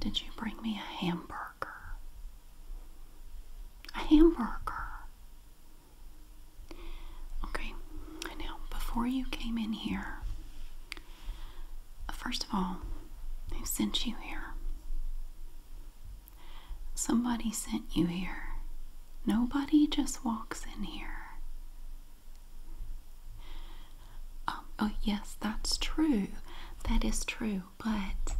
Did you bring me a hamburger? A hamburger. Okay, now before you came in here, first of all, they sent you here? Somebody sent you here. Nobody just walks in here. Um, oh yes, that's true. That is true, but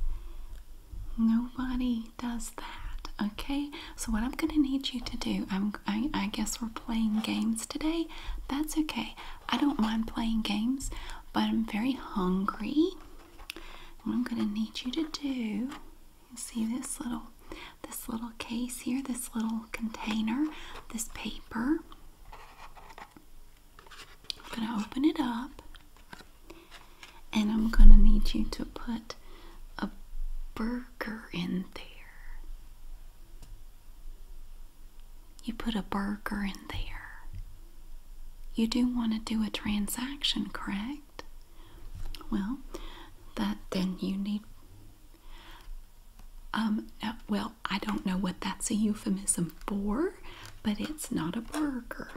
nobody does that. Okay, so what I'm gonna need you to do, I'm I, guess we're playing games today. That's okay. I don't mind playing games, but I'm very hungry. What I'm gonna need you to do, you see this little this little case here, this little container, this paper. I'm gonna open it up and I'm gonna need you to put a burger in there. You put a burger in there. You do want to do a transaction, correct? Well, that then you need. Um, well, I don't know what that's a euphemism for, but it's not a burger.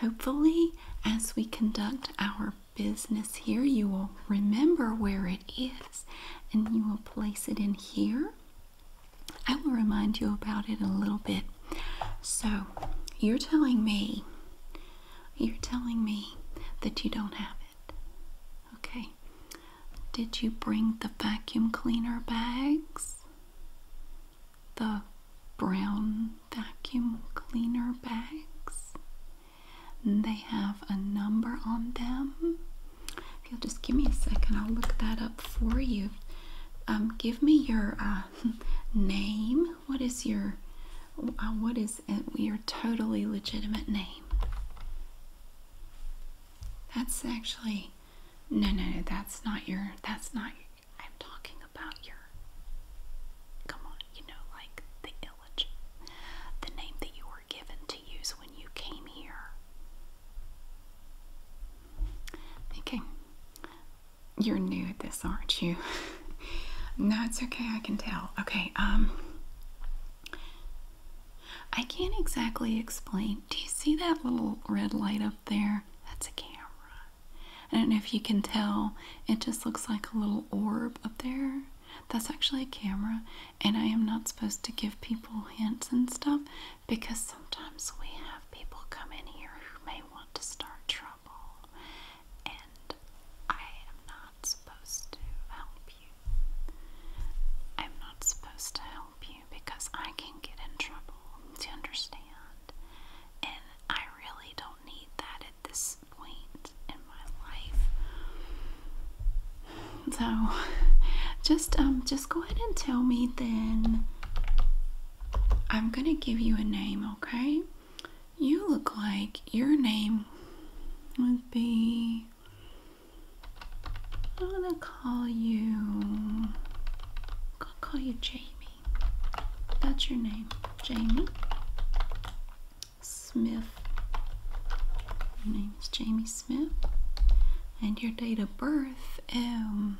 Hopefully, as we conduct our business here. You will remember where it is and you will place it in here. I will remind you about it in a little bit. So, you're telling me, you're telling me that you don't have it. Okay. Did you bring the vacuum cleaner bags? The brown vacuum cleaner bags? They have a number on them. If you'll just give me a second, I'll look that up for you. Um, give me your uh, name. What is your uh, what is your totally legitimate name? That's actually no, no, no. That's not your. That's not. I'm talking about your. Come on, you know, like the the name that you were given to use when you came here. Okay, you're new at this, aren't you? no, it's okay, I can tell. Okay, um, I can't exactly explain. Do you see that little red light up there? That's a camera. I don't know if you can tell, it just looks like a little orb up there. That's actually a camera, and I am not supposed to give people hints and stuff because sometimes we have people come in here who may want to start trouble, and I am not supposed to help you. I'm not supposed to help you because I can get in trouble. Do you understand? And I really don't need that this point in my life. So just um just go ahead and tell me then I'm gonna give you a name, okay? You look like your name would be I'm gonna call you I'll call you Jamie. That's your name, Jamie. Smith. Your name is Jamie Smith. And your date of birth. Um,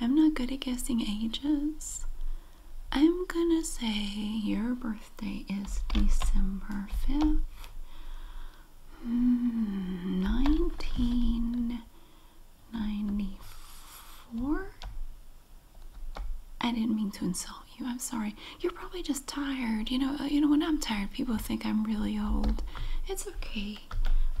I'm not good at guessing ages. I'm gonna say your birthday is December 5th, 1994. Hmm, I didn't mean to insult you. I'm sorry. You're probably just tired. You know, you know when I'm tired, people think I'm really old. It's okay.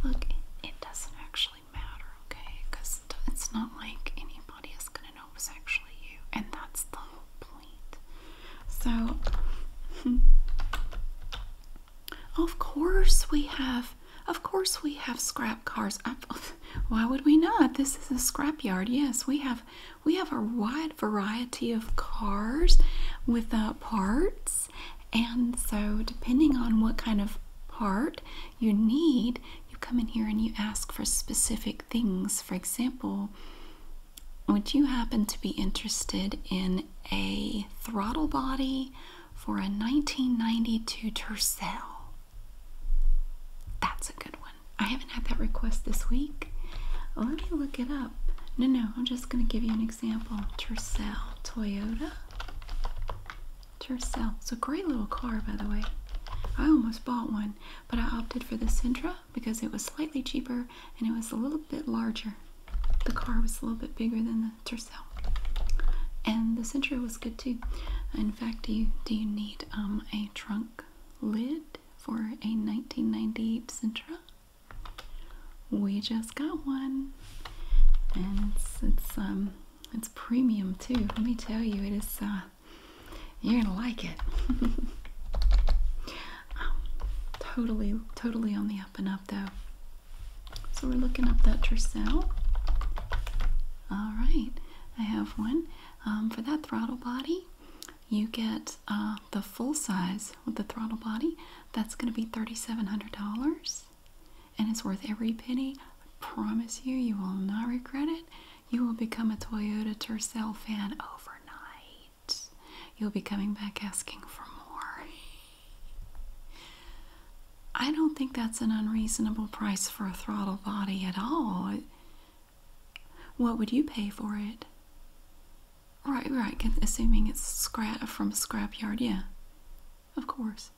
Look, it doesn't actually matter, okay? Cuz it's not like anybody is going to know it's actually you, and that's the whole point. So, of course we have of course we have scrap cars. why would we not? This is a scrap yard. Yes, we have we have a wide variety of cars with uh, parts, and so depending on what kind of part you need, you come in here and you ask for specific things. For example, would you happen to be interested in a throttle body for a 1992 Tercel? That's a good one. I haven't had that request this week. let me look it up. No, no, I'm just going to give you an example. Tercel Toyota. Tercel. It's a great little car, by the way. I almost bought one, but I opted for the Sentra because it was slightly cheaper and it was a little bit larger. The car was a little bit bigger than the Tercel. And the Sentra was good too. In fact, do you, do you need um, a trunk lid? for a 1998 Sentra. We just got one, and it's um it's premium too. Let me tell you, it is. Uh, you're gonna like it. Um, totally, totally on the up and up though. So we're looking up that Tercel. All right, I have one um, for that throttle body you get uh, the full size with the throttle body. That's going to be $3,700 and it's worth every penny. I promise you, you will not regret it. You will become a Toyota Tercel fan overnight. You'll be coming back asking for more. I don't think that's an unreasonable price for a throttle body at all. What would you pay for it? Right, right, assuming it's scrap from a scrapyard, yeah. Of course.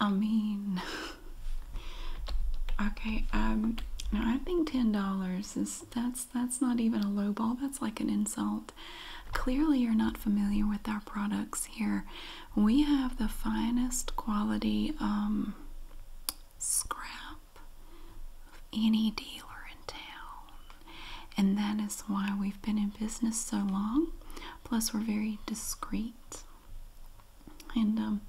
I mean, okay, um, no, I think ten dollars is that's that's not even a low ball. That's like an insult. Clearly, you're not familiar with our products here. We have the finest quality um, scrap any dealer in town. And that is why we've been in business so long. Plus, we're very discreet. And, um,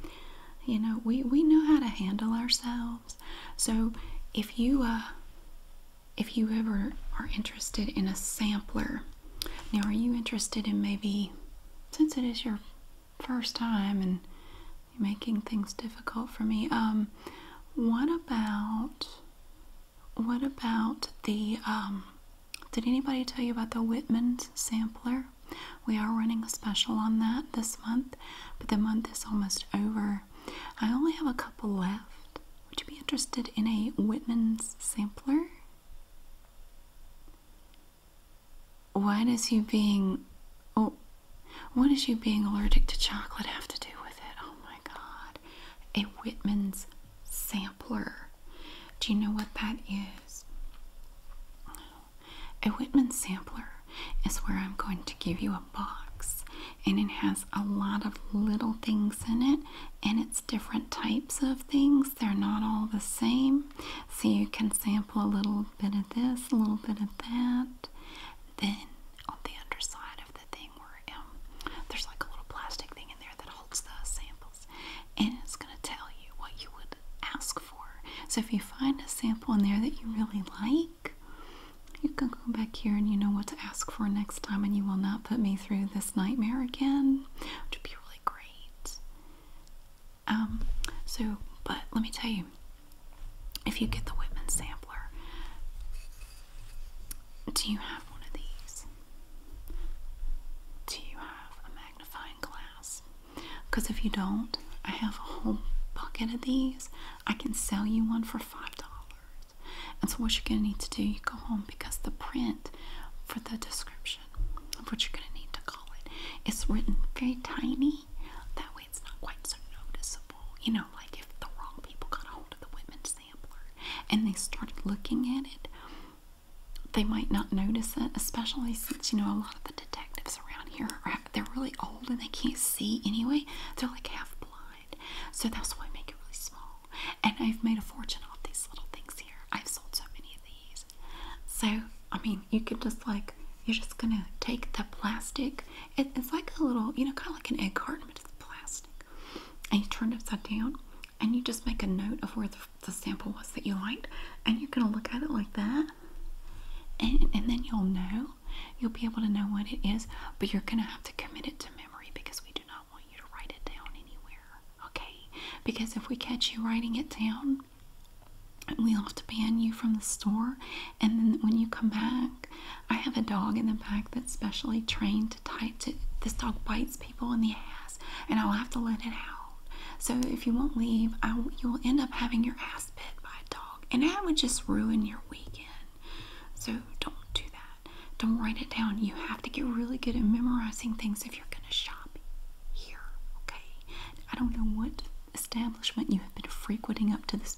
you know, we, we know how to handle ourselves. So, if you, uh, if you ever are interested in a sampler, now are you interested in maybe, since it is your first time and making things difficult for me. Um, what about what about the um, did anybody tell you about the Whitman sampler? We are running a special on that this month, but the month is almost over. I only have a couple left. Would you be interested in a Whitman sampler? Why What is you being oh what is you being allergic to chocolate have to do with it? Oh my god. A Whitman's sampler. Do you know what that is? A Whitman sampler is where I'm going to give you a box and it has a lot of little things in it and it's different types of things. They're not all the same. So you can sample a little bit of this, a little bit of that. Then on the underside of the thing, where um, there's like a little plastic thing in there that holds the samples, and it's going to tell you what you would ask for. So if you find a sample in there that you really like, you can go back here and you know what to ask for next time, and you will not put me through this nightmare again, which would be really great. Um, so, but let me tell you, if you get the Whitman sampler, do you have one of these? Do you have a magnifying glass? Because if you don't, I have a whole bucket of these. I can sell you one for five dollars. And so, what you're going to need to do, you go home because the print for the description of what you're going to need to call it's written very tiny. That way, it's not quite so noticeable. You know, like if the wrong people got a hold of the women sampler and they started looking at it, they might not notice it, especially since, you know, a lot of the detectives around here, they're really old and they can't see anyway. They're like half blind. So that's why I make it really small. And I've made a fortune off these little things here. I've sold so many of these. So I mean, you can just like you're just gonna take the plastic. it's like a little, you know, kind of like an egg carton, but it's plastic. And you turn it upside down, and you just make a note of where the, the sample was that you liked, and you're gonna look at it like that, and and then you'll know. You'll be able to know what it is, but you're gonna have to commit it to memory because we do not want you to write it down anywhere. Okay? Because if we catch you writing it down, we'll have to ban you from the store. And then when you come back, I have a dog in the back that's specially trained to tie to. This dog bites people in the ass, and I'll have to let it out. So if you won't leave, I, you'll end up having your ass bit by a dog, and that would just ruin your weekend. So don't do that. Don't write it down. You have to get really good at memorizing things if you're going to shop here. Okay. I don't know what establishment you have been frequenting up to this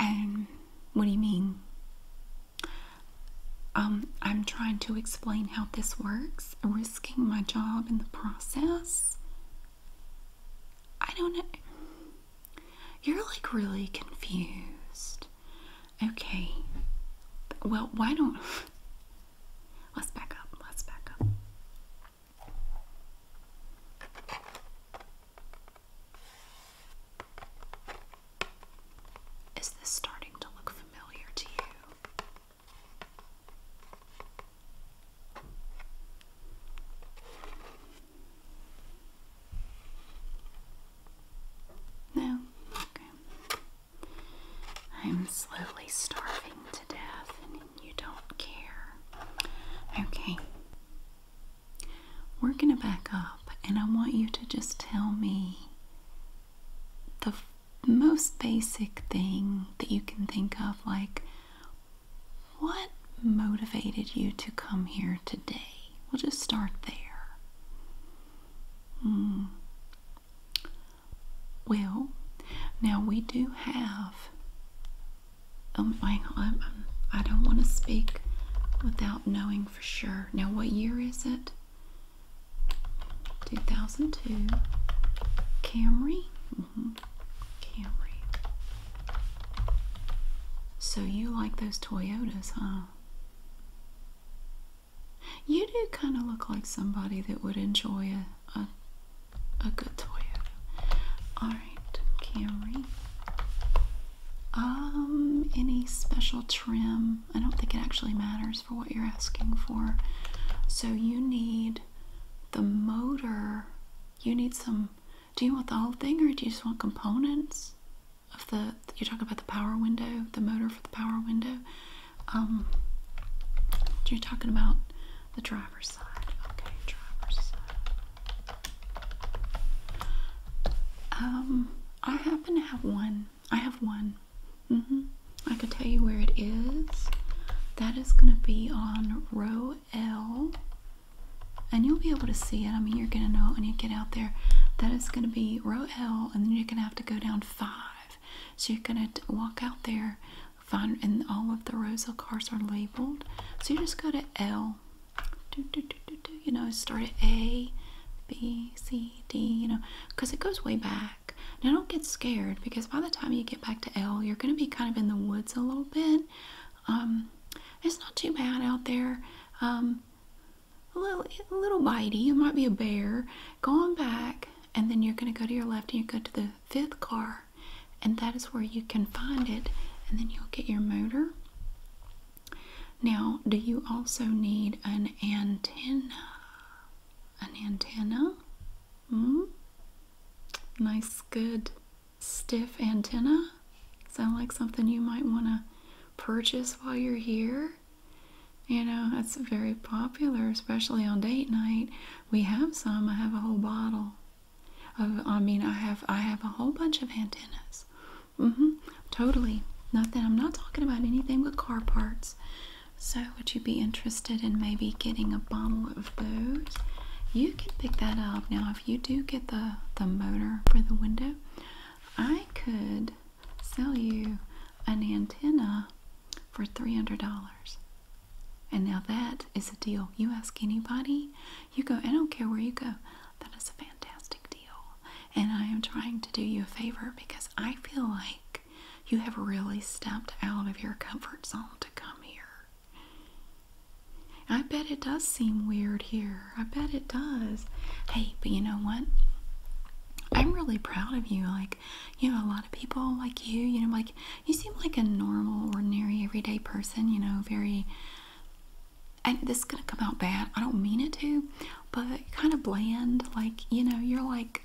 And what do you mean? Um, I'm trying to explain how this works, risking my job in the process. I don't know. You're like really confused. Okay. Well, why don't Let's back up. Let's back up. Is this starting to look familiar to you? No? Okay. I'm slowly starving to death and you don't care. Okay. We're going to back up and I want you to just tell me the most basic thing that you can think of like what motivated you to come here today? We'll just start there. Mm. Well, now we do have. Um, hang on, I, I don't want to speak without knowing for sure. Now, what year is it? 2002 Camry. Mm -hmm. Camry. So you like those Toyotas, huh? You do kind of look like somebody that would enjoy a, a, good Toyota. Alright, Camry. Um, any special trim? I don't think it actually matters for what you're asking for. So you need the motor. You need some. Do you want the whole thing or do you just want components of the? You're talking about the power window, the motor for the power window. Um, you're talking about the driver's side. Okay, driver's side. Um, I happen to have one. I have one. hmm I could tell you where it is. That is going to be on row L. And you'll be able to see it. I mean, you're going to know when you get out there. That is going to be row L, and then you're going to have to go down five. So you're going to walk out there Find and all of the Rosa cars are labeled. So you just go to L. you know, start at A, B, C, D, you know, because it goes way back. Now don't get scared because by the time you get back to L, you're going to be kind of in the woods a little bit. Um, it's not too bad out there. Um, a little, a little bitey. It might be a bear. Going back, and then you're going to go to your left and you go to the fifth car and that is where you can find it and then you'll get your motor now do you also need an antenna an antenna hmm nice good stiff antenna sound like something you might want to purchase while you're here you know, that's very popular, especially on date night. We have some. I have a whole bottle. Of, I mean, I have I have a whole bunch of antennas. Mm-hmm. Totally. Nothing. I'm not talking about anything but car parts. So, would you be interested in maybe getting a bottle of those? You can pick that up now. If you do get the the motor for the window, I could sell you an antenna for three hundred dollars. And now that is a deal. You ask anybody, you go, I don't care where you go. That is a fantastic deal. And I am trying to do you a favor because I feel like you have really stepped out of your comfort zone to come here. I bet it does seem weird here. I bet it does. Hey, but you know what? I'm really proud of you. Like, you know, a lot of people like you, you know, like you seem like a normal, ordinary, everyday person, you know, very and this is gonna come out bad. I don't mean it to, but kind of bland, like, you know, you're like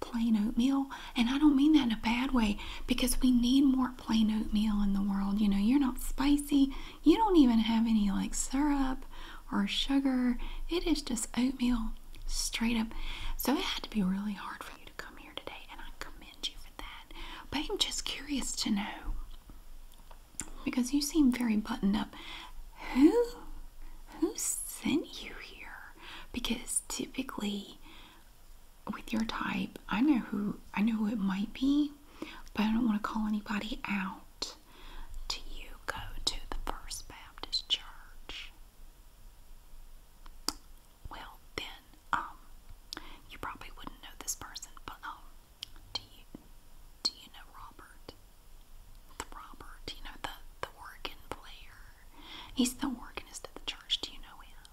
plain oatmeal. And I don't mean that in a bad way because we need more plain oatmeal in the world. You know, you're not spicy, you don't even have any like syrup or sugar. It is just oatmeal Straight up. So it had to be really hard for you to come here today, and I commend you for that. But I'm just curious to know because you seem very buttoned up. Who who sent you here? Because typically with your type, I know who I know who it might be, but I don't want to call anybody out. Do you go to the First Baptist Church? Well, then, um, you probably wouldn't know this person, but um, do you do you know Robert? The Robert, you know the the organ player. He's the organist at the church. Do you know him?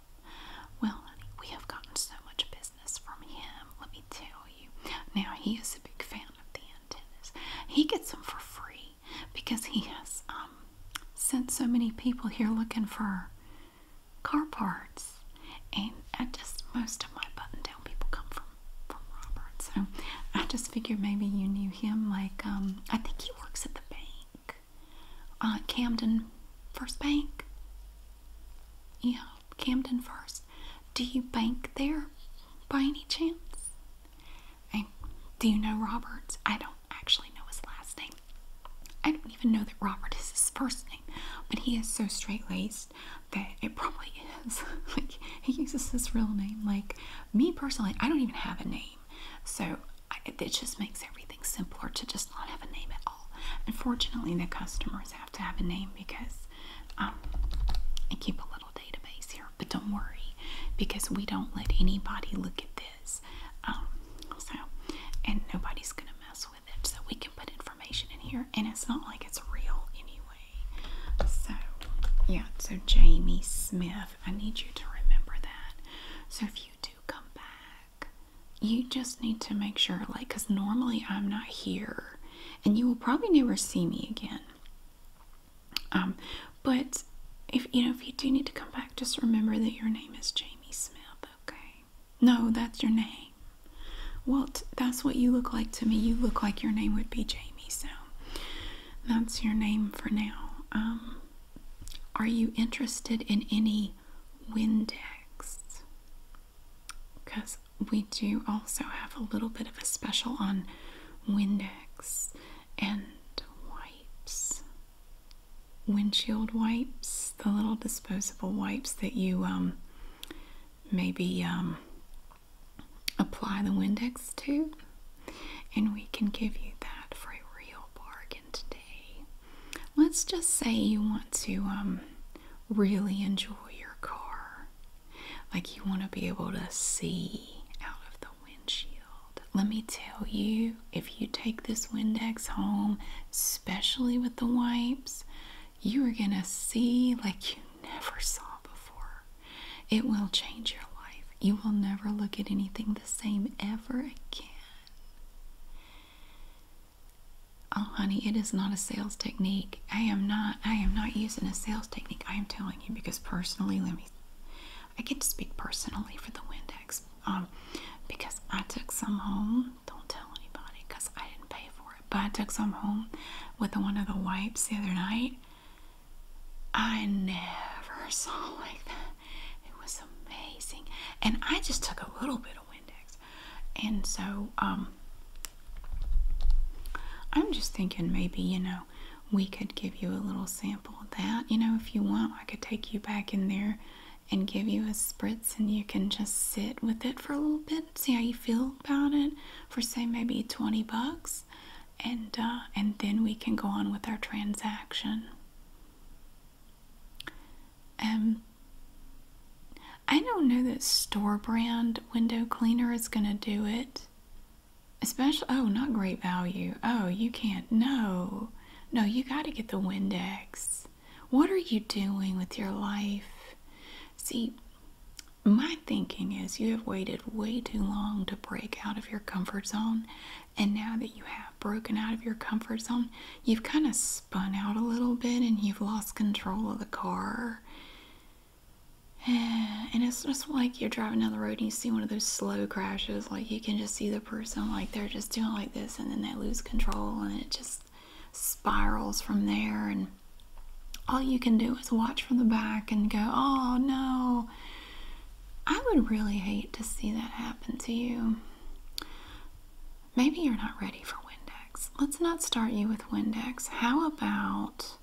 Well, honey, we have gotten so much business from him. Let me tell you. Now he is a big fan of the antennas. He gets them for free because he has um, sent so many people here looking for car parts. And I just, most of my button people come from, from Robert. So I just figured maybe you knew him. Like, um, I think he works at the bank, uh, Camden First Bank. Yeah, Camden First. Do you bank there by any chance? I, do you know Roberts? I don't actually know his last name. I don't even know that Robert is his first name, but he is so straight laced that it probably is. like, he uses his real name. Like, me personally, I don't even have a name. So, it just makes everything simpler to just not have a name at all. Unfortunately, the customers have to have a name because I um, keep a little database here but don't worry because we don't let anybody look at this. Um, so, and nobody's gonna mess with it. So we can put information in here, and it's not like it's real anyway. So, yeah. So Jamie Smith, I need you to remember that. So if you do come back, you just need to make sure, like, because normally I'm not here, and you will probably never see me again. Um, but if you know if you do need to come back, just remember that your name is Jamie Smith. Okay? No, that's your name. Well, that's what you look like to me. You look like your name would be Jamie, so that's your name for now. Um, are you interested in any Windex? Because we do also have a little bit of a special on Windex and wipes windshield wipes, the little disposable wipes that you um, maybe um, apply the Windex to. And we can give you that for a real bargain today. Let's just say you want to um, really enjoy your car, like you want to be able to see out of the windshield. Let me tell you, if you take this Windex home, especially with the wipes, you are going to see like you never saw before. It will change your life. You will never look at anything the same ever again. Oh honey, it is not a sales technique. I am not I am not using a sales technique. I am telling you because personally, let me I get to speak personally for the Windex um, because I took some home. Don't tell anybody because I didn't pay for it. But I took some home with one of the wipes the other night. I never saw like that. It was amazing. And I just took a little bit of Windex. And so um, I'm just thinking maybe, you know, we could give you a little sample example that. You know, if you want, I could take you back in there and give you a spritz, and you can just sit with it for a little bit, see how you feel about it for say maybe 20 bucks, and uh, and then we can go on with our transaction. Um, I don't know that store brand window cleaner is gonna do it. Especially, oh, not great value. Oh, you can't. No, no, you got to get the Windex. What are you doing with your life? See, my thinking is you have waited way too long to break out of your comfort zone. And now that you have broken out of your comfort zone, you've kind of spun out a little bit and you've lost control of the car. And it's just like you're driving down the road and you see one of those slow crashes, like you you can just see the person like they're just doing like this and then they lose control and it just spirals from there and all you can do is watch from the back and go, "Oh no." I would really hate to see that happen to you. Maybe you're not ready for Windex. Let's not start you with Windex. How about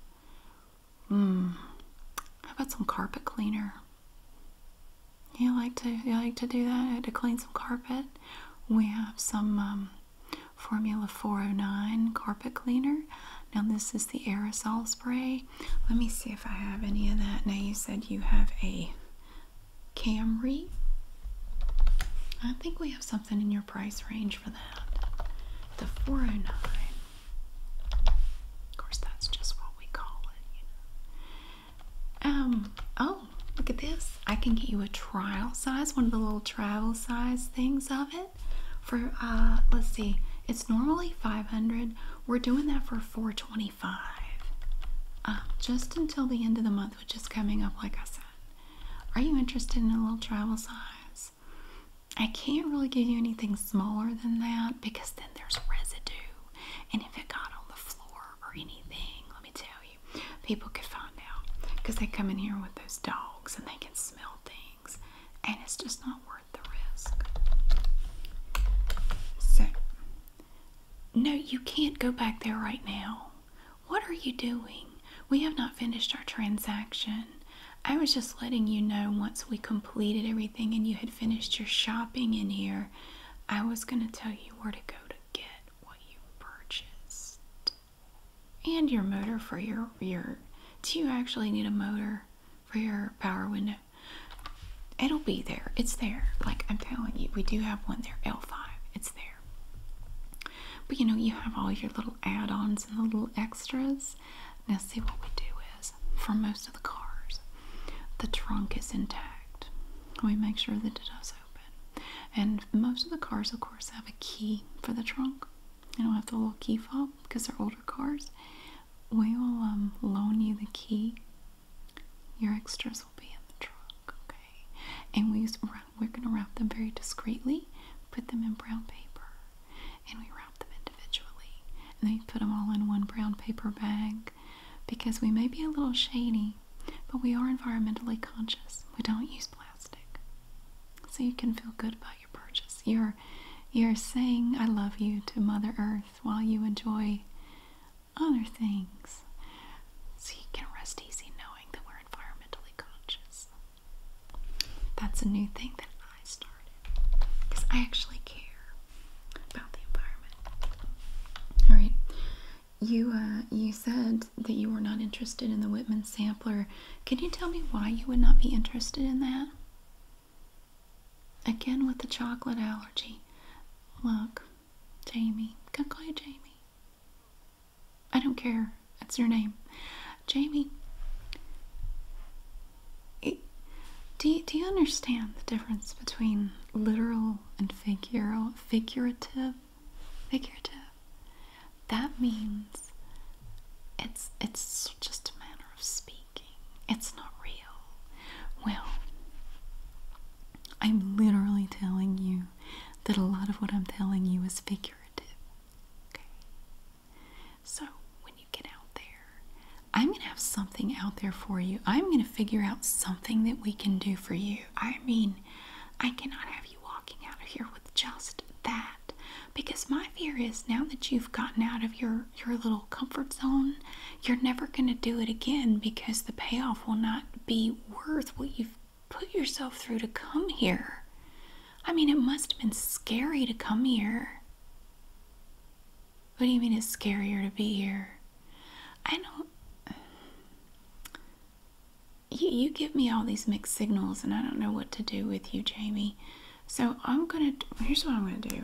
Hmm. How about some carpet cleaner? You like to you like to do that uh, to clean some carpet. We have some um, Formula 409 carpet cleaner. Now this is the aerosol spray. Let me see if I have any of that. Now you said you have a Camry. I think we have something in your price range for that. The 409. Of course, that's just what we call it, you know. Um, oh, look at this. I can get you a trial size, one of the little travel size things of it. For uh, let's see, it's normally 500. We're doing that for 425. Um, just until the end of the month, which is coming up, like I said. Are you interested in a little travel size? I can't really give you anything smaller than that because then there's residue. And if it got on the floor or anything, let me tell you, people could find out because they come in here with those dogs and they can smell things, and it's just not worth the risk. So, no, you can't go back there right now. What are you doing? We have not finished our transaction. I was just letting you know once we completed everything and you had finished your shopping in here, I was going to tell you where to go to get what you purchased. And your motor for your rear. Do you actually need a motor for your power window? It'll be there. It's there. Like I'm telling you, we do have one there, L5. It's there. But you know, you have all your little add ons and the little extras. Now, see what we do is for most of the cars, the trunk is intact. We make sure that it does open. And most of the cars, of course, have a key for the trunk. They don't have the little key fob because they're older cars. We will um, loan you the key. Your extras will be in the trunk, okay? And we are going to wrap them very discreetly, put them in brown paper, and we wrap them individually. And then put them all in one brown paper bag because we may be a little shady, but we are environmentally conscious. We don't use plastic. So you can feel good about your purchase. You're you're saying I love you to Mother Earth while you enjoy other things. So you can rest easy knowing that we're environmentally conscious. That's a new thing that I started. Because I actually care. All right. You uh, you said that you were not interested in the Whitman sampler. Can you tell me why you would not be interested in that? Again with the chocolate allergy. Look, Jamie. Can I call you Jamie? I don't care. That's your name. Jamie. Do you, do you understand the difference between literal and figural, figurative? Figurative. That means it's it's just a matter of speaking. It's not real. Well, I'm literally telling you that a lot of what I'm telling you is figurative. Okay. So when you get out there I'm going to have something out there for you. I'm going to figure out something that we can do for you. I mean, I cannot have you walking out of here with just that because my fear is now that you've gotten out of your your little comfort zone, you're never going to do it again because the payoff will not be worth what you've put yourself through to come here. I mean, it must have been scary to come here. What do you mean it's scarier to be here? I don't. You, you give me all these mixed signals, and I don't know what to do with you, Jamie. So I'm gonna. Here's what I'm gonna do.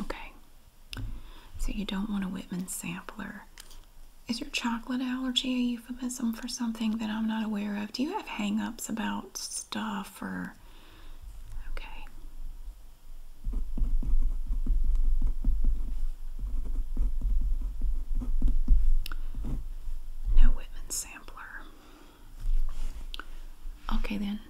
Okay. So you don't want a Whitman sampler. Is your chocolate allergy a euphemism for something that I'm not aware of? Do you have hang ups about stuff? Okay. No Whitman sampler. Okay, then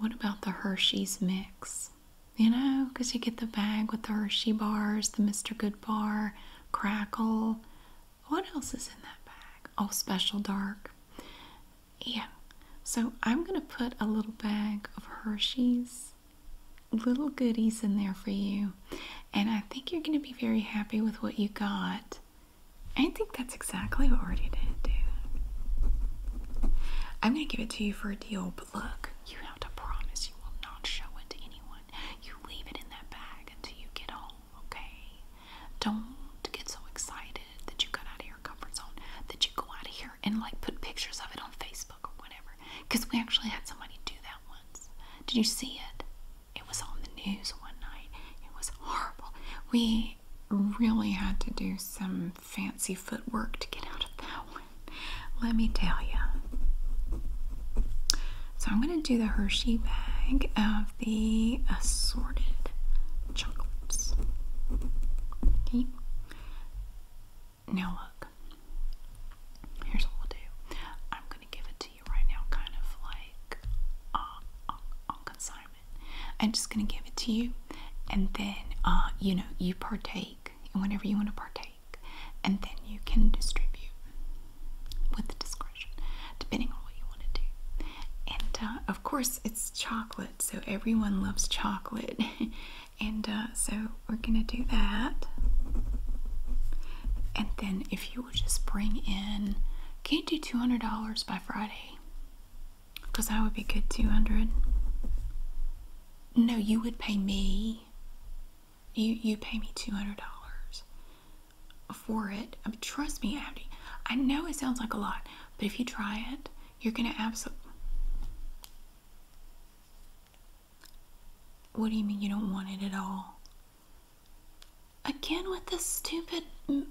what about the Hershey's mix? You know, because you get the bag with the Hershey bars, the Mr. Good bar, crackle. What else is in that bag? Oh, special dark yeah so i'm going to put a little bag of hershey's little goodies in there for you and i think you're going to be very happy with what you got i think that's exactly what we're going to do i'm going to give it to you for a deal but look you have to promise you will not show it to anyone you leave it in that bag until you get home okay don't get so excited that you got out of your comfort zone, that you go out of here and like put pictures of it on Facebook or whatever. Because we actually had somebody do that once. Did you see it? It was on the news one night. It was horrible. We really had to do some fancy footwork to get out of that one. Let me tell you. So I'm going to do the Hershey bag. of. Uh, the assorted chocolates. Okay. Now look. Here's what we'll do. I'm gonna give it to you right now, kind of like uh, on, consignment. I'm just gonna give it to you, and then uh, you know you partake in whatever you want to partake, and then you can distribute with the discretion, depending on what you want to do. And uh, of course, it's chocolate so everyone loves chocolate. and uh, so we're gonna do that. And then if you would just bring in, can't do $200 by Friday. Because that would be good 200. dollars No, you would pay me. You you pay me two hundred dollars for it. trust me, Abby. I know it sounds like a lot, but if you try it you're going to absolutely. What do you mean you don't want it at all? Again, with this stupid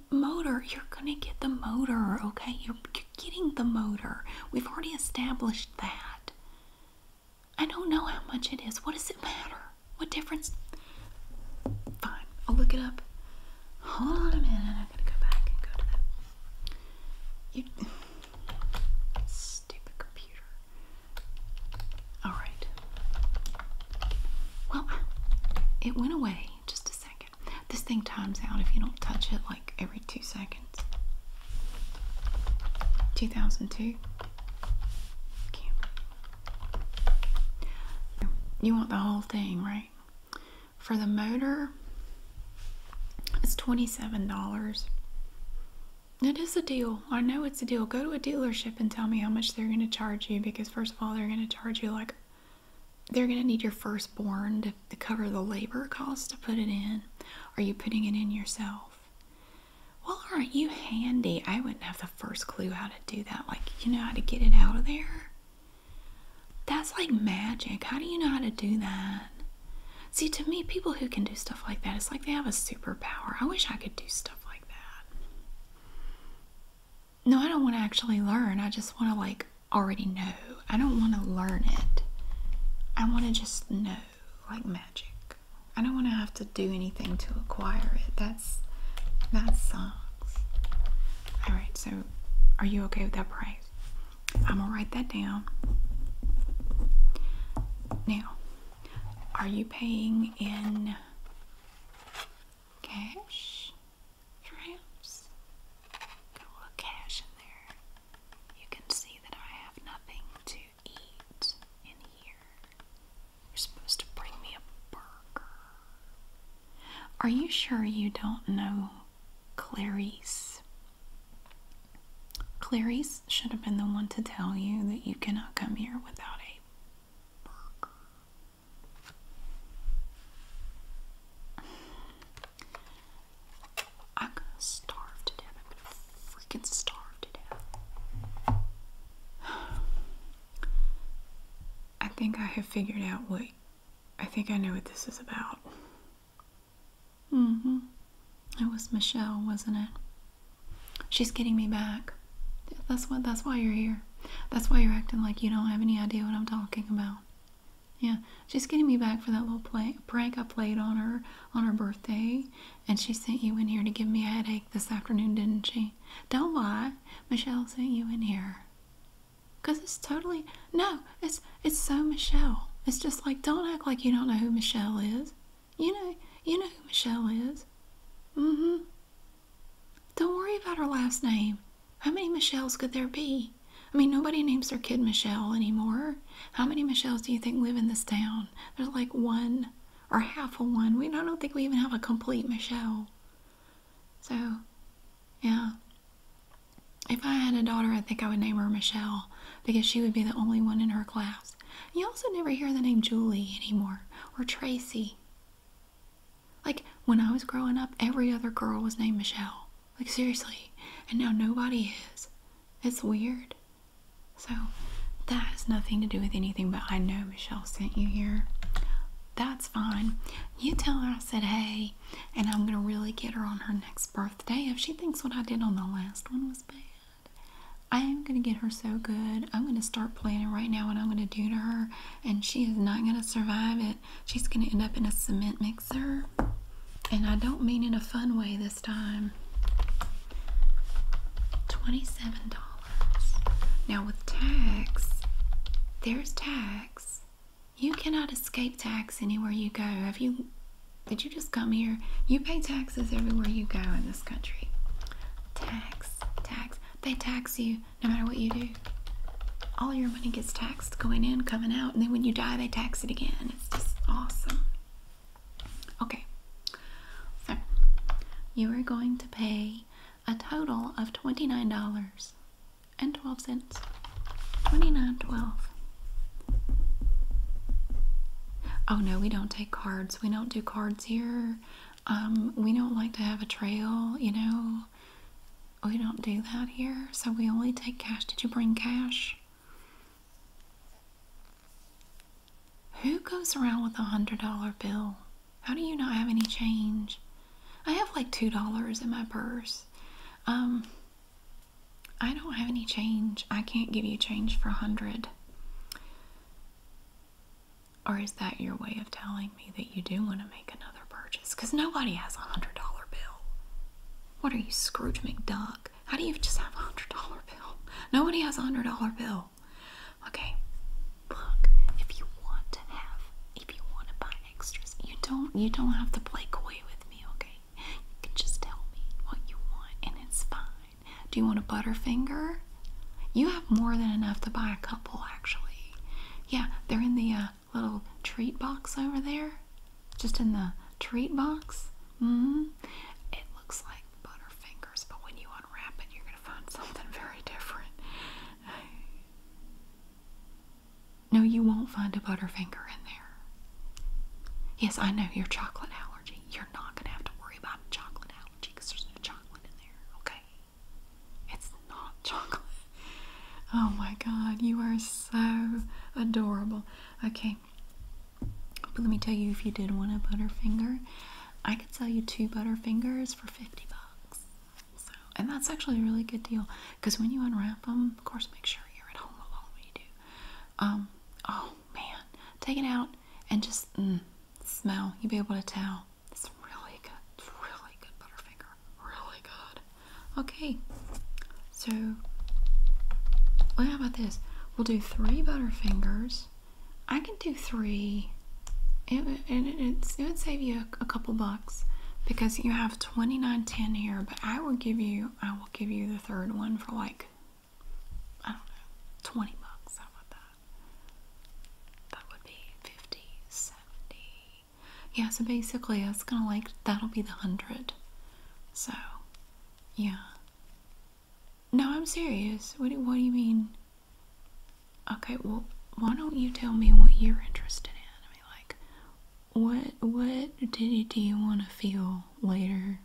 motor, you're going to get the motor, okay? You're, you're getting the motor. We've already established that. I don't know how much it is. What does it matter? What difference? Fine, I'll look it up. Hold on a minute, I'm gonna go back and go to that. You stupid computer. Alright. Well, it went away just a second. This thing times out if you don't touch it like every two seconds. 2002. You want the whole thing, right? For the motor, it's $27. It is a deal. I know it's a deal. Go to a dealership and tell me how much they're going to charge you because, first of all, they're going to charge you like they're going to need your firstborn to, to cover the labor cost to put it in. Are you putting it in yourself? Well, aren't you handy? I wouldn't have the first clue how to do that. Like, you know how to get it out of there? That's like magic. How do you know how to do that? See, to me, people who can do stuff like that, it's like they have a superpower. I wish I could do stuff like that. No, I don't want to actually learn. I just want to, like, already know. I don't want to learn it. I want to just know, like magic. I don't want to have to do anything to acquire it. That's that sucks. All right, so are you okay with that prank? I'm gonna write that down. Now, are you paying in cash? Perhaps? Got a little cash in there. You can see that I have nothing to eat in here. You're supposed to bring me a burger. Are you sure you don't know Clarice? Clarice should have been the one to tell you that you cannot come here without a burger. I'm gonna starve to I'm gonna freaking starve to I think I have figured out what I think I know what this is about. Mm hmm. It was Michelle, wasn't it? She's getting me back. That's what. That's why you're here. That's why you're acting like you don't have any idea what I'm talking about. Yeah, she's getting me back for that little play, prank I played on her on her birthday, and she sent you in here to give me a headache this afternoon, didn't she? Don't lie, Michelle sent you in here. Cause it's totally no, it's it's so Michelle. It's just like don't act like you don't know who Michelle is. You know you know who Michelle is. Mm-hmm. Don't worry about her last name. How many Michelles could there be? I mean, nobody names their kid Michelle anymore. How many Michelles do you think live in this town? There's like one or half a one. We I don't think we even have a complete Michelle. So, yeah. If I had a daughter, I think I would name her Michelle because she would be the only one in her class. You also never hear the name Julie anymore or Tracy. Like, when I was growing up, every other girl was named Michelle. Like, seriously. And now nobody is. It's weird. So, that has nothing to do with anything, but I know Michelle sent you here. That's fine. You tell her I said, hey, and I'm gonna really get her on her next birthday if she thinks what I did on the last one was bad. I am gonna get her so good. I'm gonna start planning right now what I'm gonna do to her, and she is not gonna survive it. She's gonna end up in a cement mixer, and I don't mean in a fun way this time. $27. Now, with tax, there's tax, you cannot escape tax anywhere you go. Have you did you just come here? You pay taxes everywhere you go in this country. Tax, tax. They tax you no matter what you do. All your money gets taxed going in, coming out, and then when you die, they tax it again. It's just awesome. Okay, so you are going to pay a total of $29 and 12 cents. 29.12. Oh no, we don't take cards. We don't do cards here. Um, we don't like to have a trail, you know. We don't do that here. So we only take cash. Did you bring cash? Who goes around with a hundred dollar bill? How do you not have any change? I have like two dollars in my purse. Um, I don't have any change. I can't give you change for a hundred. Or is that your way of telling me that you do want to make another purchase? Because nobody has a hundred dollar bill. What are you, Scrooge McDuck? How do you just have a hundred dollar bill? Nobody has a hundred dollar bill. Okay, look, if you want to have, if you want to buy extras. You don't you don't have to play coy with me, okay? You can just tell me what you want and it's fine. Do you want a butterfinger? You have more than enough to buy a couple actually. Yeah, they're in the uh, little treat box over there. Just in the treat box. Mm hmm It looks like butterfingers, but when you unwrap it, you're gonna find something very different. No, you won't find a Butterfinger in there. Yes, I know your chocolate allergy. You're not going to have to worry about a chocolate allergy because there's no chocolate in there, okay? It's not chocolate. Oh my god, you are so adorable. Okay, but let me tell you if you did want a Butterfinger, I could sell you two Butterfingers for 50 bucks and that's actually a really good deal because when you unwrap them, of course, make sure you're at home alone when you do. Um, oh man, take it out and just mm, smell. You'll be able to tell. It's really good. really good Butterfinger. Really good. Okay, so well, how about this? We'll do three Butterfingers. I can do three. It, it, it, would save you a couple bucks because you have 29.10 here I will give you I will give you the third one for like I don't know, twenty bucks. How about that? That would be 50, 70. Yeah, so basically it's gonna like that'll be the hundred. So yeah. No, I'm serious. What do, what do you mean? Okay, well, why don't you tell me what you're interested in? like, what what did you, do you want to feel later?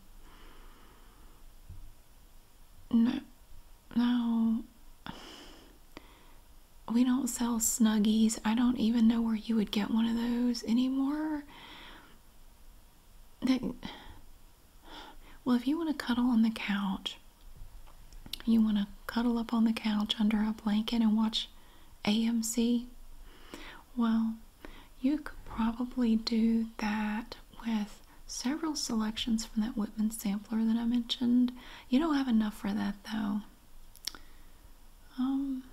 No, no. We don't sell Snuggies. I don't even know where you would get one of those anymore. That, well, if you want to cuddle on the couch, you want to cuddle up on the couch under a blanket and watch AMC? Well, you could probably do that with several selections from that Whitman sampler that I mentioned. You don't have enough for that though. Um,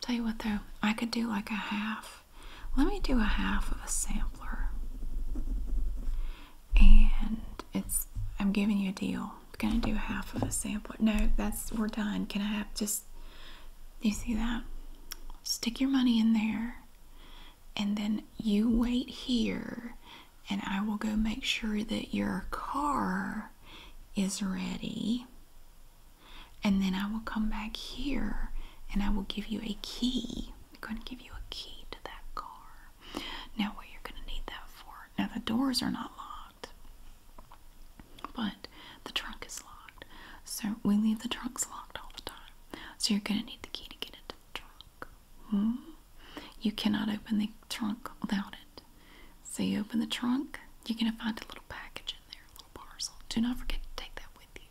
tell you what though, I could do like a half. Let me do a half of a sampler. And it's, I'm giving you a deal. I'm gonna do half of a sample. No, that's we're done. Can I have just you see that? Stick your money in there and then you wait here and I will go make sure that your car is ready. And then I will come back here and I will give you a key. I'm going to give you a key to that car. Now, what you're going to need that for. Now, the doors are not locked. But the trunk is locked. So we leave the trunks locked all the time. So you're going to need the key to get into the trunk. Hmm? You cannot open the trunk without it. So you open the trunk, you're going to find a little package in there, a little parcel. Do not forget to take that with you.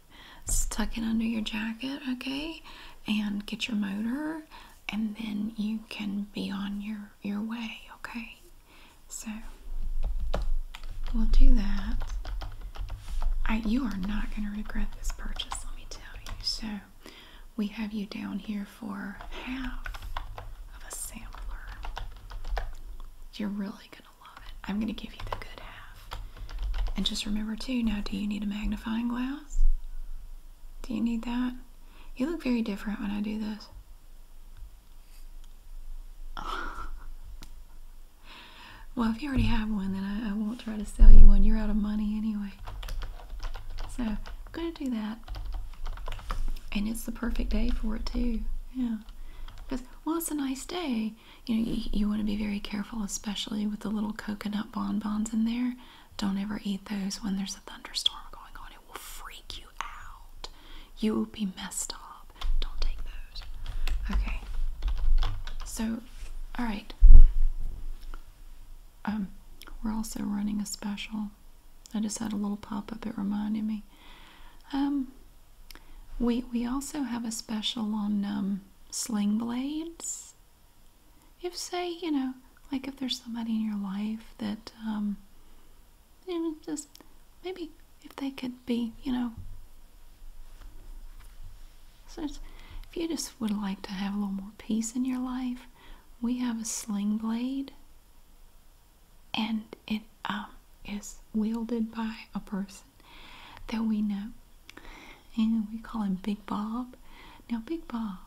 Just tuck it under your jacket, okay? And get your motor, and then you can be on your, your way, okay? So we'll do that. you are not going to regret this purchase, let me tell you. So we have you down here for half of a sampler. You're really going to love it. I'm going to give you the good half. And just remember too, now do you need a magnifying glass? Do you need that? You look very different when I do this. well, if you already have one, then I, won't try to sell you one. You're out of money anyway. So I'm going to do that. And it's the perfect day for it too. Yeah. Because, well, it's a nice day. You know, you, you want to be very careful, especially with the little coconut bonbons in there. Don't ever eat those when there's a thunderstorm going on it will freak you out. You will be messed up. Don't take those. Okay. So, all right. Um, we're also running a special. I just had a little pop up. It reminded me. Um, we we also have a special on um, sling blades. If say you know, like if there's somebody in your life that um, Maybe just maybe if they could be, you know. So if you just would like to have a little more peace in your life, we have a sling blade, and it um, is wielded by a person that we know, and we call him Big Bob. Now, Big Bob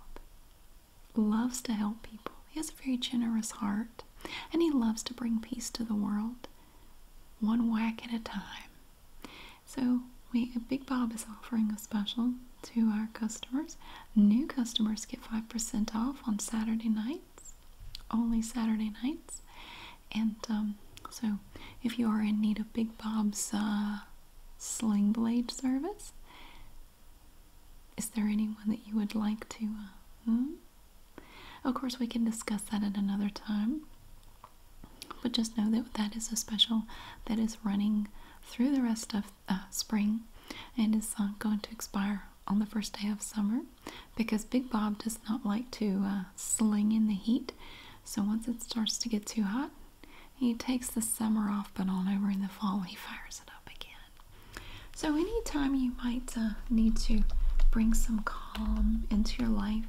loves to help people. He has a very generous heart. And he loves to bring peace to the world, one whack at a time. So, we Big Bob is offering a special to our customers. New customers get 5% off on Saturday nights, only Saturday nights. And um, so, if you are in need of Big Bob's uh, sling blade service, is there anyone that you would like to? Uh, hmm? Of course, we can discuss that at another time. But just know that that is a special that is running through the rest of uh, spring and is uh, going to expire on the first day of summer because Big Bob does not like to uh, sling in the heat. So once it starts to get too hot, he takes the summer off, but on over in the fall, he fires it up again. So, anytime you might uh, need to bring some calm into your life,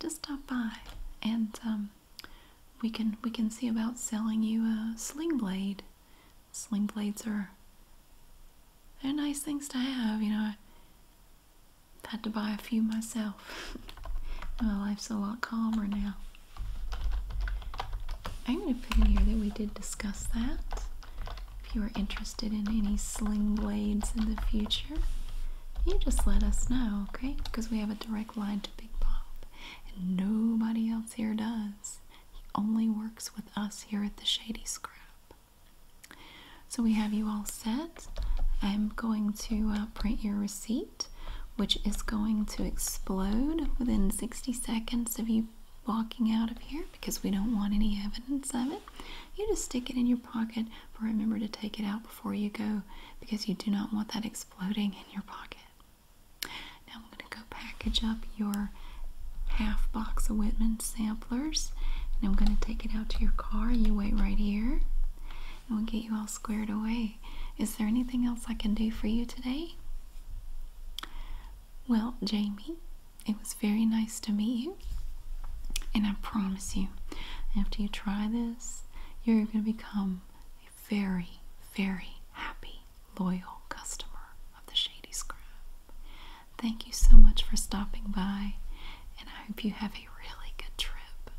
just stop by, and um, we can we can see about selling you a sling blade. Sling blades are they're nice things to have, you know. I had to buy a few myself. My life's a lot calmer now. I'm going to put in here that we did discuss that. If you are interested in any sling blades in the future, you just let us know, okay? Because we have a direct line to Big Bob, and nobody else here does. He only works with us here at the Shady Scrap. So we have you all set. I'm going to uh, print your receipt, which is going to explode within 60 seconds of you walking out of here because we don't want any evidence of it. You just stick it in your pocket, but remember to take it out before you go because you do not want that exploding in your pocket. Now I'm going to go package up your half box of Whitman samplers and I'm going to take it out to your car. You wait right here and we'll get you all squared away. Is there anything else I can do for you today? Well, Jamie, it was very nice to meet you. And I promise you, after you try this, you're going to become a very, very happy, loyal customer of the Shady Scrub. Thank you so much for stopping by, and I hope you have a really good trip.